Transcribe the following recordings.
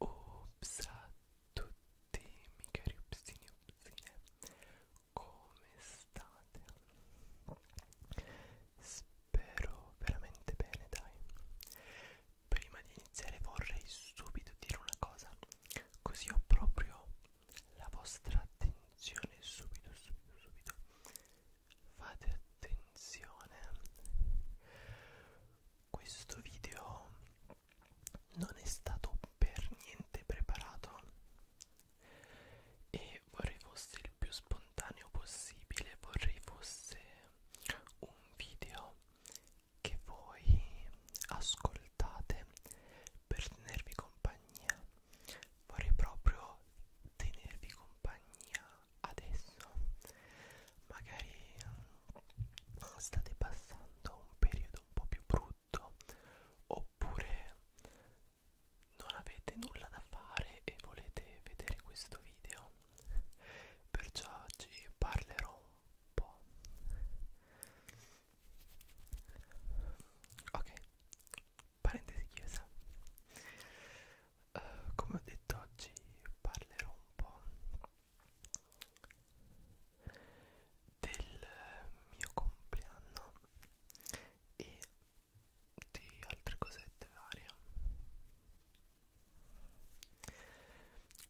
Ups a tutti, miei cari upsini upsine, come state? Spero veramente bene, dai. Prima di iniziare vorrei subito dire una cosa, così ho proprio la vostra attenzione subito subito subito fate attenzione questo video non è stato per niente preparato e vorrei fosse il più spontaneo possibile vorrei fosse un video che voi ascoltate per tenervi compagnia compagnia vorrei proprio tenervi compagnia adesso magari mm, state passando un periodo un po' più brutto oppure non avete nulla da fare e volete vedere questo video perciò oggi parlerò un po' ok parentesi chiesa uh, eh, come ho detto oggi parlerò un po' del mio compleanno e di altre cosette varie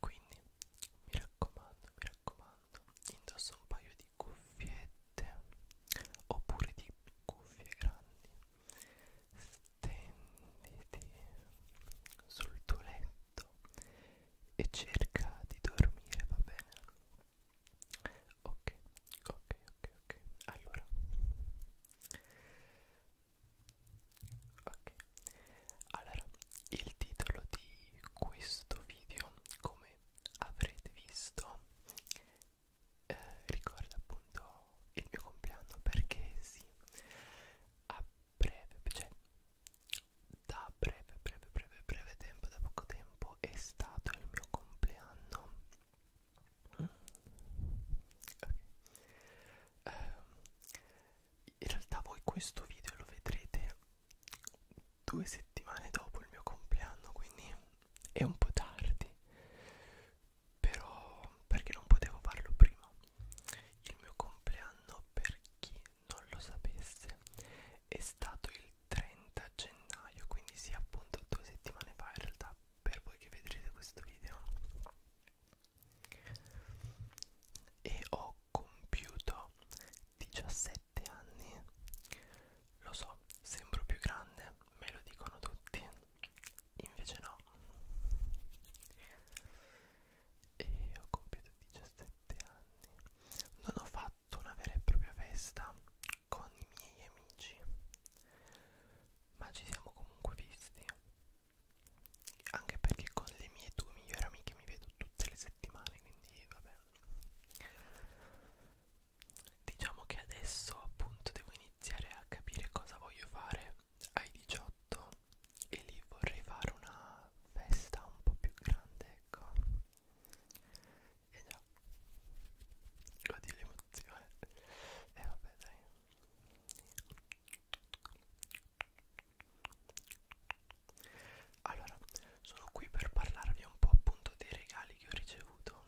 quindi mi raccomando mi raccomando indossa un paio di cuffiette oppure di cuffie grandi stenditi sul tuo letto e cerca di dormire va bene ok ok ok ok allora ok allora il titolo di questo video come avrete visto eh, ricorda appunto il mio compleanno perché sì a breve cioè da breve breve breve breve tempo da poco tempo è stato il mio compleanno mm. okay. um, in realtà voi questo video lo vedrete due settimane dopo il mio compleanno, quindi è un po' tardi, però perché non potevo farlo prima. Il mio compleanno, per chi non lo sapesse, è stato il 30 gennaio, quindi sì, appunto due settimane fa in realtà, per voi che vedrete questo video. E ho compiuto 17 7 anni lo so sembro più grande me lo dicono tutti invece no e ho compiuto 17 anni non ho fatto una vera e propria festa con i miei amici ma ci siamo comunque visti anche perché con le mie due migliori amiche mi vedo tutte le settimane quindi vabbè diciamo che adesso appunto devo iniziare a capire cosa voglio fare ai 18 e lì vorrei fare una festa un po' più grande ecco e eh già godi l'emozione e eh, vabbè dai allora, sono qui per parlarvi un po' appunto dei regali che ho ricevuto.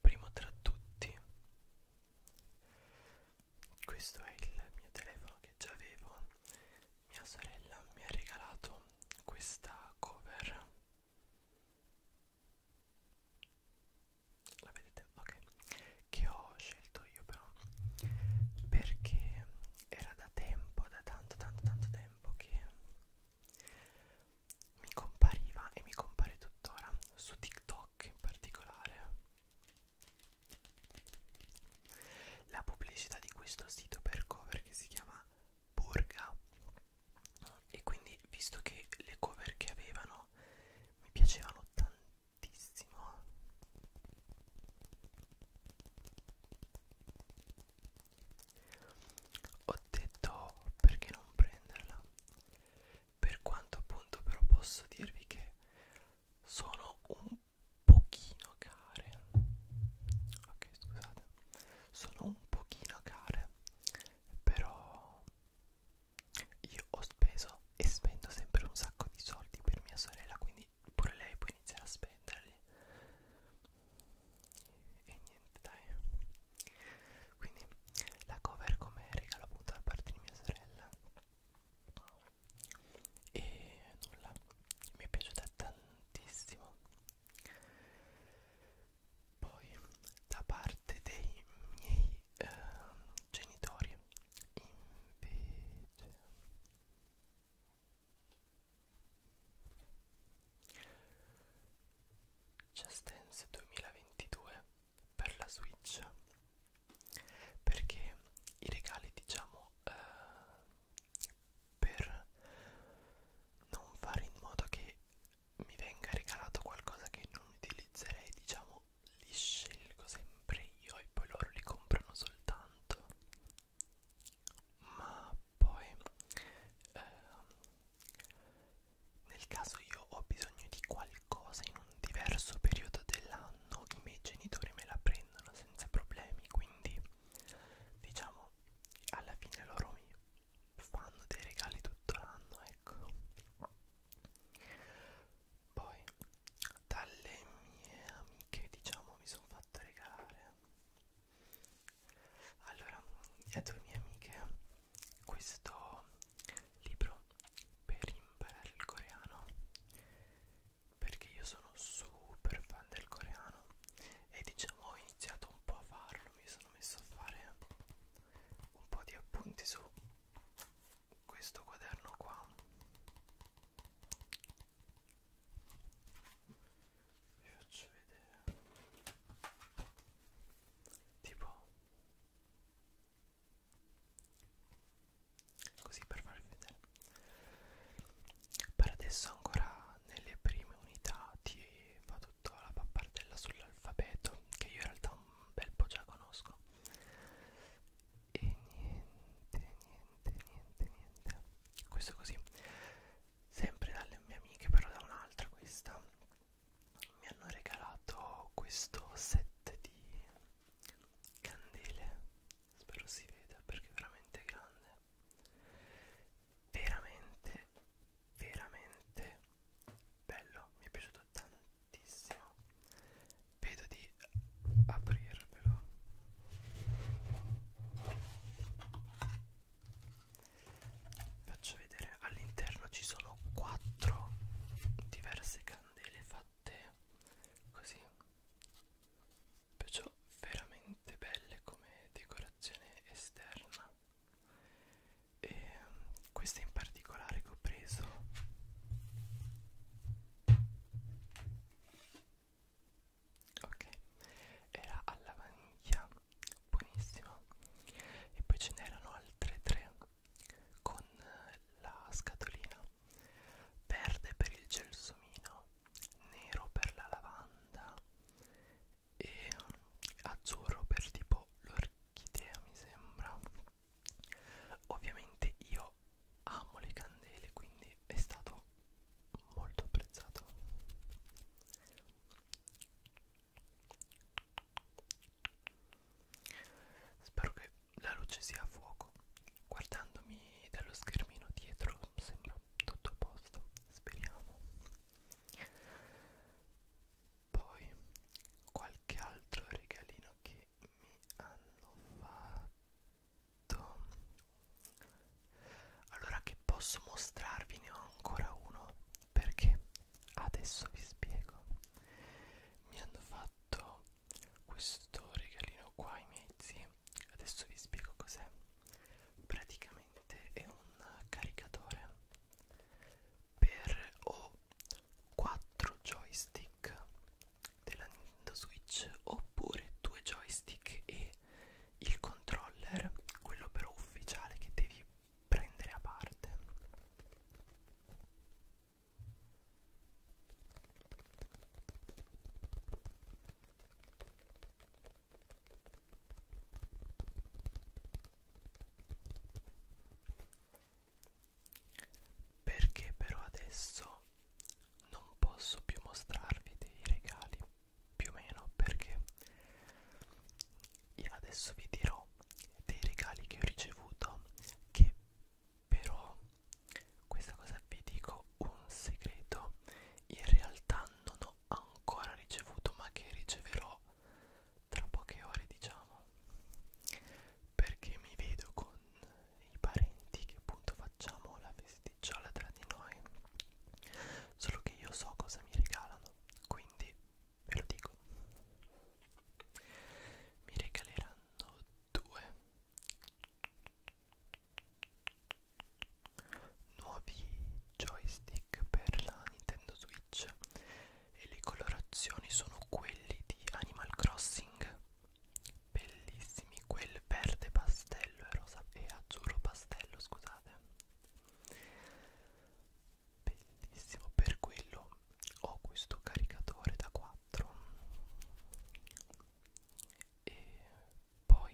Primo tra tutti, questo è il mio telefono che già avevo. Mia sorella mi ha regalato questa cover. La vedete? Ok. Che ho scelto io però perché era da tempo, da tanto tanto tanto tempo che mi compariva e mi compare tuttora su TikTok in particolare. La pubblicità di questo sito per cover che si chiama Burga e quindi visto che le cover che avevano mi piacevano tantissimo ho detto perché non prenderla per quanto appunto però posso dirvi che sono un pochino care ok scusate sono un pochino care però io ho speso e spendo sempre un sacco di soldi per mia sorella quindi quindi pure lei può iniziare a spenderli e niente dai quindi la cover come regalo appunto da parte di mia sorella e nulla mi è piaciuta tantissimo poi da parte dei miei eh, genitori invece Just Dance 2022 per la Switch perché i regali diciamo eh, per non fare in modo che mi venga regalato qualcosa che non utilizzerei diciamo li scelgo sempre io e poi loro li comprano soltanto ma poi eh, nel caso io ho bisogno di qualcosa in un diverso periodo dell'anno i miei genitori me la prendono senza problemi quindi diciamo alla fine loro mi fanno dei regali tutto l'anno ecco poi dalle mie amiche diciamo mi sono fatto regalare allora a due mie amiche questo libro per imparare il coreano perché io sono super fan del coreano e diciamo ho iniziato un po' a farlo mi sono messo a fare un po' di appunti su questo quaderno qua vi faccio vedere tipo così per farvi vedere per adesso ancora nelle prime unità ti fa tutta la pappardella sull'alfabeto che io in realtà un bel po' già conosco e niente niente niente niente questo così sempre dalle mie amiche però da un'altra questa mi hanno regalato questo set di candele spero si veda perché è veramente grande veramente veramente bello mi è piaciuto tantissimo vedo di aprirvelo faccio vedere all'interno ci sono quattro diverse candele fatte così perciò veramente belle come decorazione esterna e questa in particolare che ho preso ok era alla vaniglia buonissima e poi ce n'erano altre tre con la scatolina verde per il gelsomino nero per la lavanda e azzurro per tipo l'orchidea mi sembra ovviamente io io amo le candele quindi è stato molto apprezzato spero che la luce sia a fuoco guardandomi dallo schermino dietro sembra tutto a posto speriamo poi qualche altro regalino che mi hanno fatto allora che posso mostrarvi ne ho ancora uno perché adesso vi spiego mi hanno fatto questo regalino qua i miei zii adesso vi spiego cos'è praticamente è un caricatore per o 4 joystick della Nintendo Switch oppure due joystick e il controller, quello però ufficiale che devi prendere a parte. Perché però adesso non posso più mostrarvi dei regali più o meno perché io adesso vi dirò dei regali che ho ricevuto che però questa cosa vi dico un segreto in realtà non ho ancora ricevuto ma che riceverò tra poche ore diciamo perché mi vedo con i parenti che appunto facciamo la festicciola tra di noi solo che io so cosa mi regalano quindi ve lo dico mi regaleranno due nuovi joystick per la Nintendo Switch e le colorazioni sono quelli di Animal Crossing bellissimi quel verde pastello e rosa e azzurro pastello scusate bellissimo per quello ho questo caricatore da 4 e poi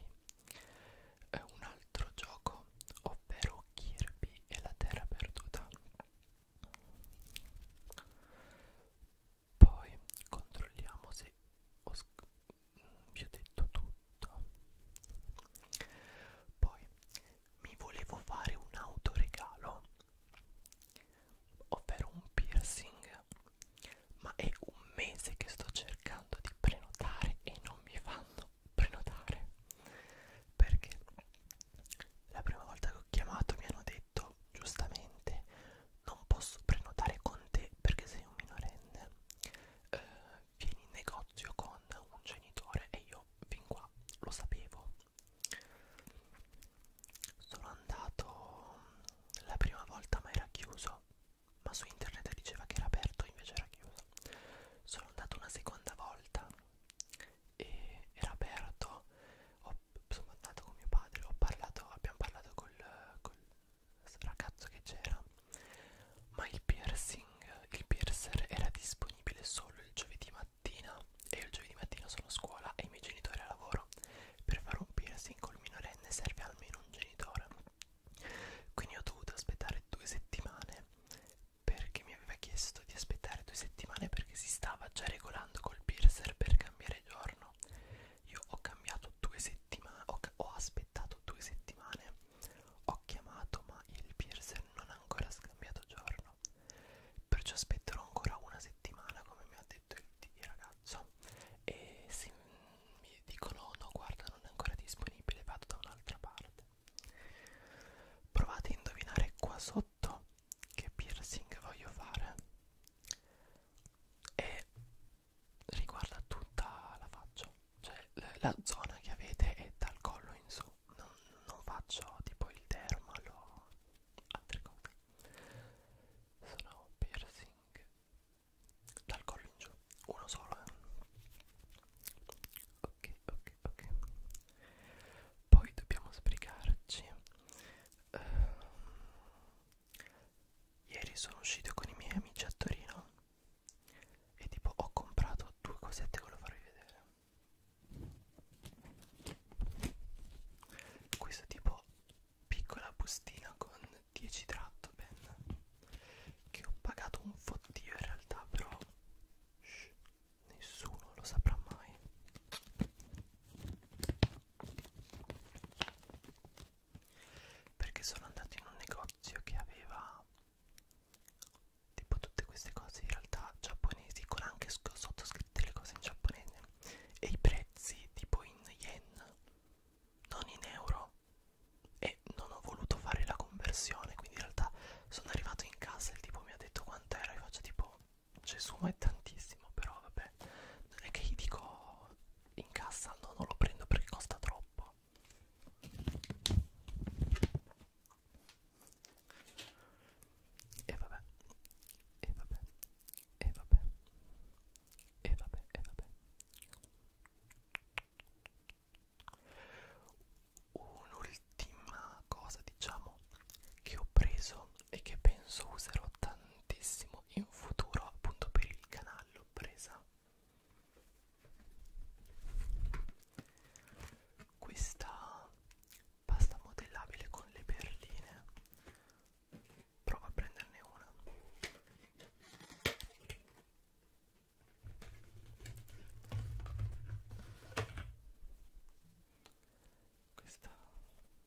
è eh, un altro gioco ovvero Kirby e la terra perduta poi controlliamo se ho vi ho detto tutto poi mi volevo fare un autoregalo ovvero un piercing ma è un mese che sto cercando di prenotare e non mi fanno prenotare perché la prima volta che ho chiamato mi hanno detto giustamente non posso prenotare con te perché sei un minorenne eh, vieni in negozio con un genitore e io fin qua lo sapevo sono andato la prima volta ma era chiuso ma su internet diceva che era aperto invece era chiuso sono andato una seconda volta e era aperto ho, sono andato con mio padre ho parlato abbiamo parlato col, col ragazzo che c'era ma il piercing il piercer era disponibile solo il giovedì mattina e io il giovedì mattina sono a scuola e i miei genitori a lavoro per fare un piercing col minorenne serve almeno un genitore quindi ho dovuto aspettare due settimane perché mi aveva chiesto di aspettare due settimane perché si stava già regolando col piercer per cambiare giorno io ho cambiato due, se settimane ho, ho aspettato due settimane ho chiamato ma il piercer non ha ancora scambiato giorno perciò aspetterò ancora una settimana come mi ha detto il, il ragazzo e se mi dicono no guarda non è ancora disponibile vado da un'altra parte provate a indovinare qua sotto che piercing voglio fare e riguarda tutta la faccia cioè la zona che avete è dal collo in su non, non faccio tipo il dermal o altre cose sono piercing dal collo in giù uno solo eh. ok ok ok poi dobbiamo sbrigarci uh, Ieri sono uscito con i miei amici a Torino e tipo ho comprato due cosette che lo farò vedere. Questo tipo piccola bustina con 10 tratto pen che ho pagato un fottio in realtà però shh, nessuno lo saprà mai perché sono andato in un negozio che aveva tipo tutte queste cose in realtà giapponesi con anche sottoscritte le cose in giapponese e i prezzi tipo in yen non in euro e non ho voluto fare la conversione quindi in realtà sono arrivato in casa e il tipo mi ha detto quant'era e faccio tipo Gesù ma è tantissimo però vabbè non è che gli dico in cassa no non lo prendo perché costa troppo e vabbè e vabbè e vabbè e vabbè e vabbè un'ultima cosa diciamo che ho preso e che penso userò tantissimo in futuro appunto per il canale l'ho presa questa pasta modellabile con le perline prova a prenderne una questa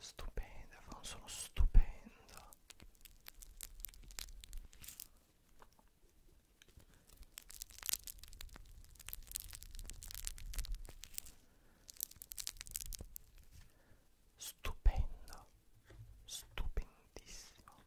Stupenda, fa un suono stupendo. Stupendo, stupendissimo.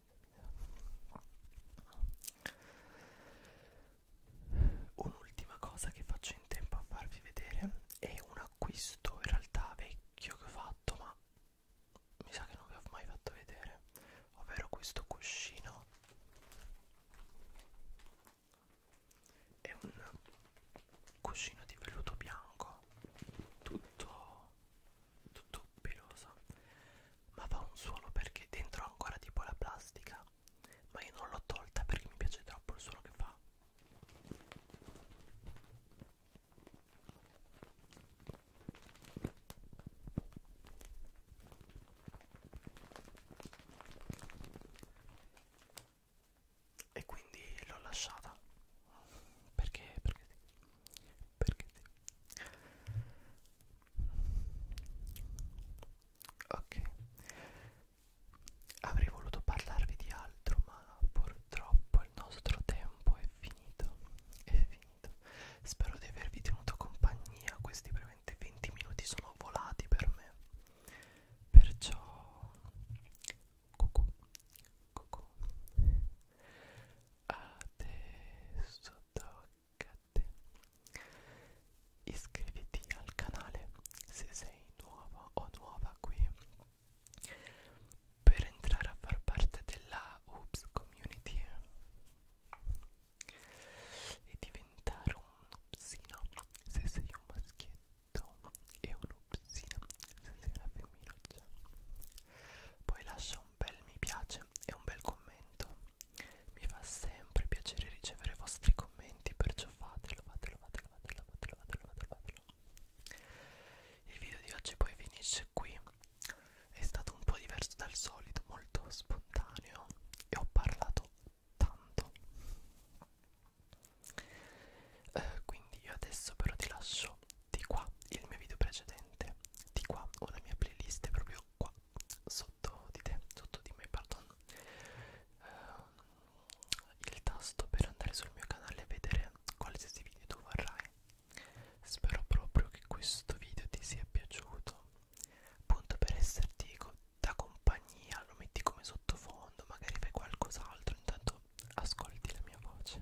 Un'ultima cosa che faccio in tempo a farvi vedere è un acquisto in realtà vecchio che ho fatto, ma mi sa che non vi ho mai fatto vedere, ovvero questo cuscino. È un cuscino di velluto bianco, tutto tutto peloso ma fa un suono perché dentro ho ancora tipo la plastica ma io non l'ho tolta perché mi piace troppo il suono che fa e quindi l'ho lasciata perché perché perché Ok, avrei voluto parlarvi di altro, ma purtroppo il nostro tempo è finito. È finito. Spero di avervi tenuto compagnia. Questi veramente 20 minuti sono volati per me. Perciò, cucù, cucù. Adesso tocca Gatte. Iscriviti al canale se sei nuova o nuova qui per entrare a far parte della Oops Community e diventare un upsino se sei un maschietto e un upsino se sei una femminuccia. Poi lascio un bel mi piace e un bel commento mi fa sempre piacere ricevere i vostri commenti perciò fatelo fatelo fatelo fatelo fatelo fatelo fatelo, fatelo. il video di oggi poi finisce qui è stato un po' diverso dal solito molto spontaneo e ho parlato tanto eh, quindi io adesso però ti lascio di qua il mio video precedente di qua ho la mia playlist proprio proprio qua sotto di te, sotto di me, pardon uh, il tasto per andare sul mio canale e vedere qualsiasi video tu vorrai spero proprio che questo video ti sia piaciuto appunto per esserti da compagnia lo metti come sottofondo magari fai qualcos'altro intanto ascolti la mia voce